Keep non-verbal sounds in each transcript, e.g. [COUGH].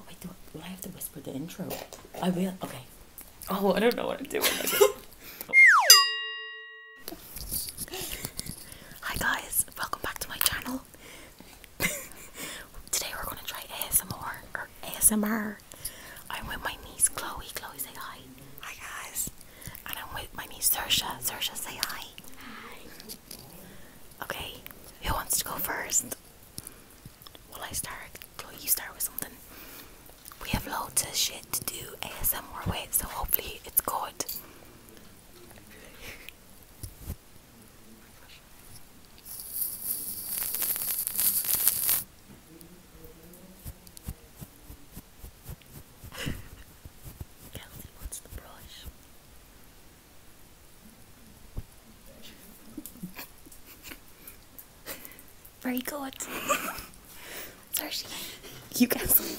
Oh wait, do, I have to whisper the intro? I will. Okay. Oh, I don't know what I'm doing. [LAUGHS] Hi guys, welcome back to my channel. [LAUGHS] Today we're gonna try ASMR ASMR. I'm with my niece Chloe. Chloe, say hi. Hi guys. And I'm with my niece Sersha. Sersha, say hi. Hi. Okay, who wants to go first? Will I start? Chloe, you start with something. We have loads of shit to do ASMR with, so hopefully it's good. [LAUGHS] Kelsey wants the brush. Very good. Sorry, you guys.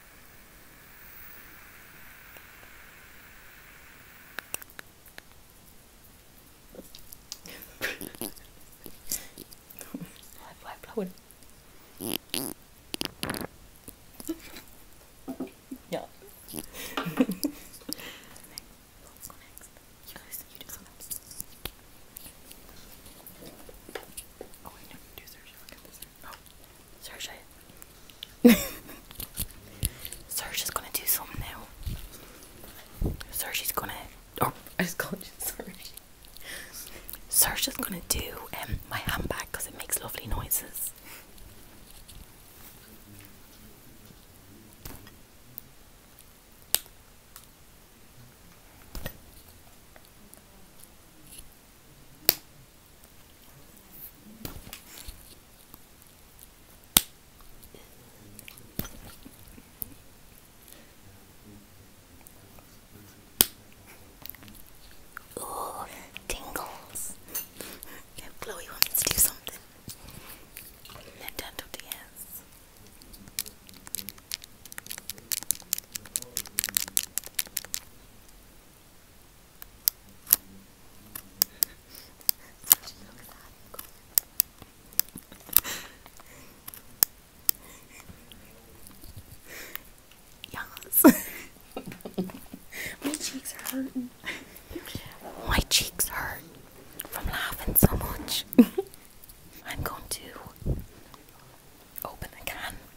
Phải blow it. yeah. next. Go next. You guys, you do some next. Oh, I know you do, sir. You look at this. No. Oh, Search [LAUGHS] gonna do something now. Serge is gonna. Oh, I called you Serge. Serge gonna do um, my handbag because it makes lovely noises. Ooh, tingles. Chloe wants to do something. Nintendo DS. Yes. [LAUGHS] My cheeks are hurting. My cheeks hurt from laughing so much. [LAUGHS] I'm going to open a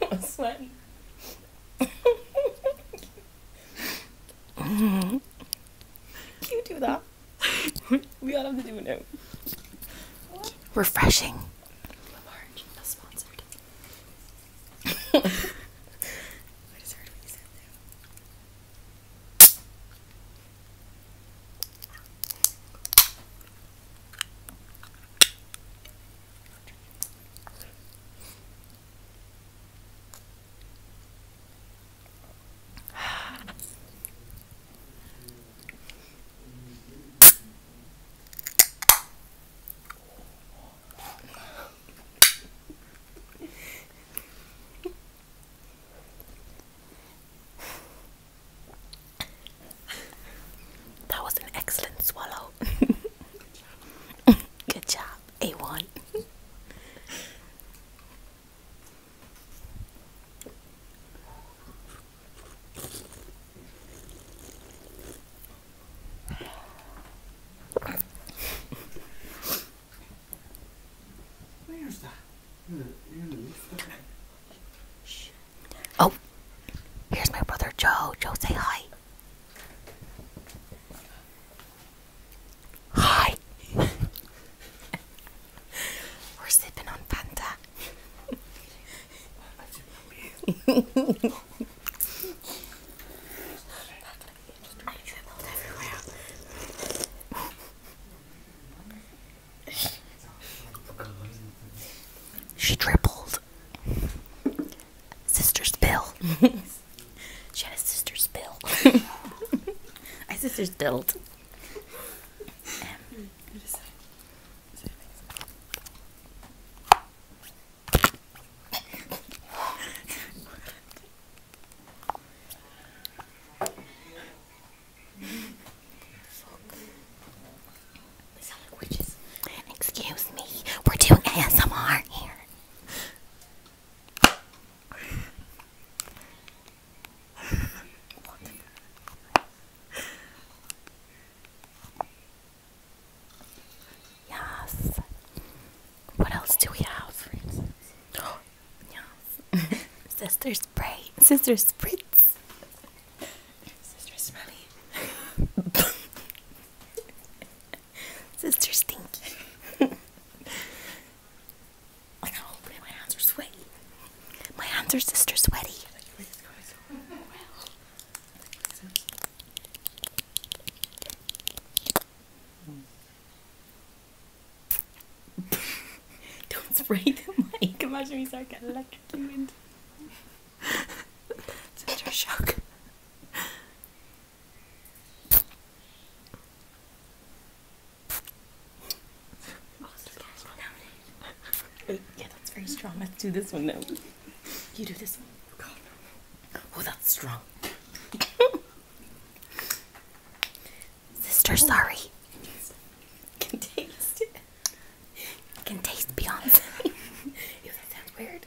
I am [LAUGHS] sweating. [LAUGHS] Can you do that? [LAUGHS] we all have to do it now. Refreshing. I just heard what you said there that was an excellent swallow. [LAUGHS] Good job, A1. Where's that? Oh, here's my brother Joe. Joe, say hi. Hi. [LAUGHS] We're sipping on Fanta. [LAUGHS] I dribbled everywhere. she dribbled. Sister spill. [LAUGHS] she had a sister spill. My [LAUGHS] sister spilled. Um, Witches. Excuse me, we're doing ASMR here. Yes. What else do we have? yes. [GASPS] Sister spray. Sister spritz. Sister smelly. [LAUGHS] Sister stinky. [LAUGHS] like how oh, my hands are sweaty. My hands are sister sweaty. Don't spray the mic. Imagine we start getting electrocuted. Such a shock. Oh, yeah, that's very strong. Let's do this one now. You do this one. Oh, that's strong. [LAUGHS] Sister, oh. sorry. [LAUGHS] Can taste it. Can taste Beyonce. [LAUGHS] Ew, that sounds weird.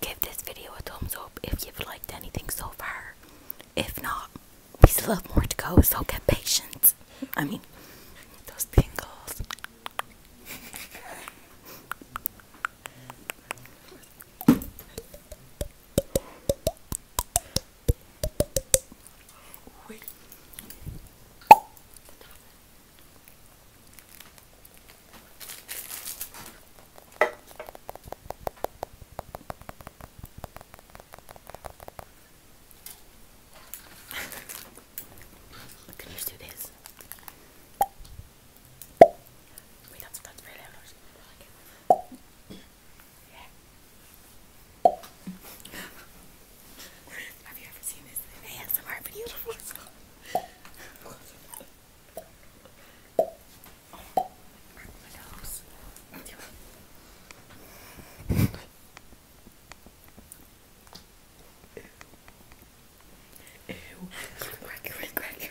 Give this video a thumbs up if you've liked anything so far. If not, we still have more to go, so get patient. I mean, those tingles. [LAUGHS] Wait. Could you just do this? Wait, that's that's really yeah. [LAUGHS] Have you ever seen this in an ASMR video before? oh, my nose. Ew. Crack your crack your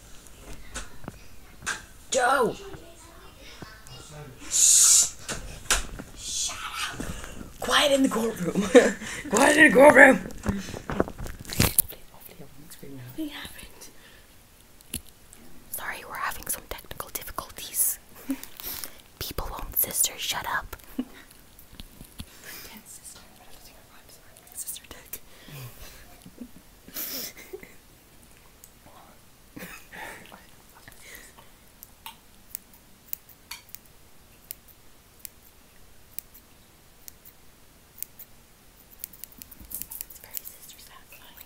Joe! Shh! Shut up! Quiet in the courtroom! [LAUGHS] Quiet in the courtroom! Nothing happened. Sorry, we're having some technical difficulties. [LAUGHS] People won't, shut up. Sister Dick. it's very sister satisfying.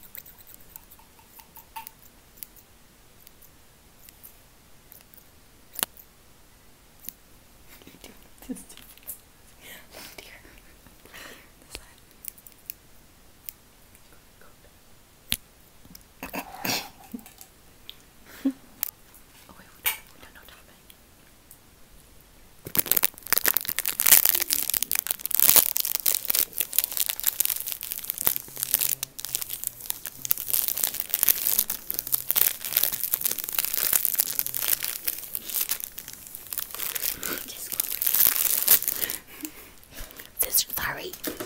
You do this. Left ear. Right ear. This side. oh wait, we're done. We're done. No tapping. Just this sorry. [LAUGHS]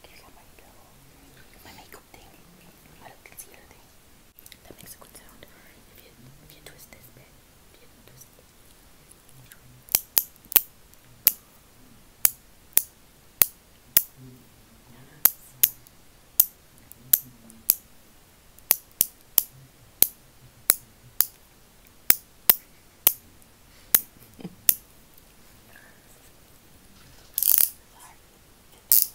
There's my, my makeup thing, my little concealer thing. That makes a good sound. If you if you twist this bit, if you twist it. Yes. [LAUGHS] Sorry.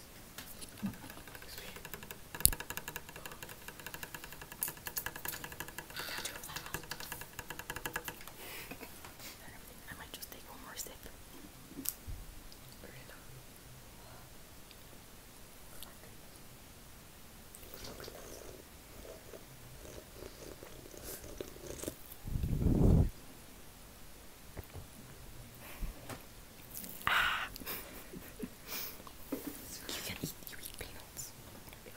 I might just take one more sip. Ah. you can eat. You eat peanuts.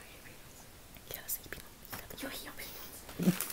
I eat peanuts. You eat peanuts. peanuts.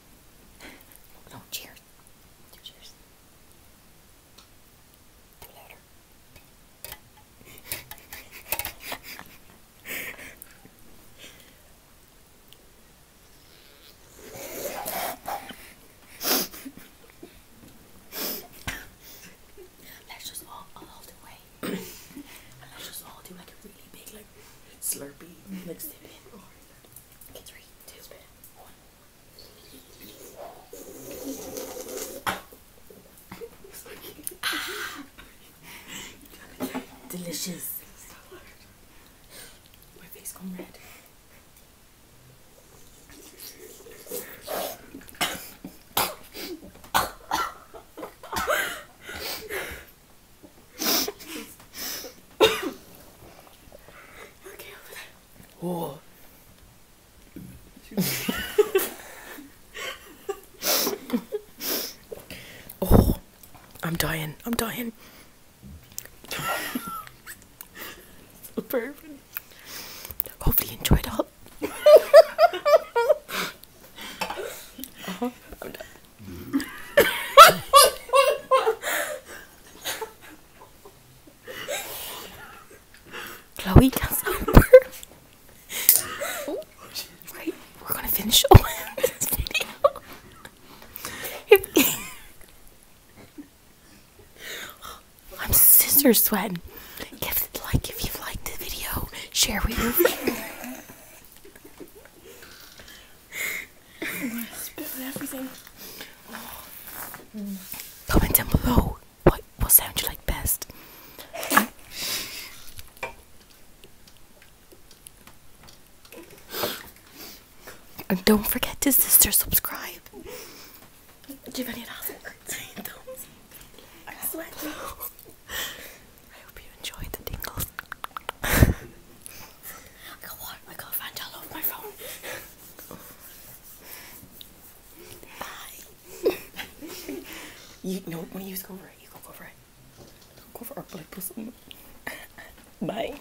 [LAUGHS] no, cheers. cheers. Do let's just all, all, all the let's just all do like a really big, like slurpy, three, two, one. Delicious. My face gone red. [LAUGHS] Oh. [LAUGHS] I'm dying. I'm dying. Hopefully, you enjoyed all. [LAUGHS] uh uh-huh. I'm done. Chloe does number. oh, right, we're gonna finish all this video. If, I'm scissor sweating. If like, if you liked the video, share with your friends. I'm gonna spit on everything. Oh. Comment down below what what sound you like best. and don't forget to sister subscribe. Give any thumbs. I sweat. [LAUGHS] I hope you enjoyed the dingles. [LAUGHS] I got what? I got find all my phone. Bye. [LAUGHS] you know when you go over it, you go over it. go over our blood bosom. [LAUGHS] Bye.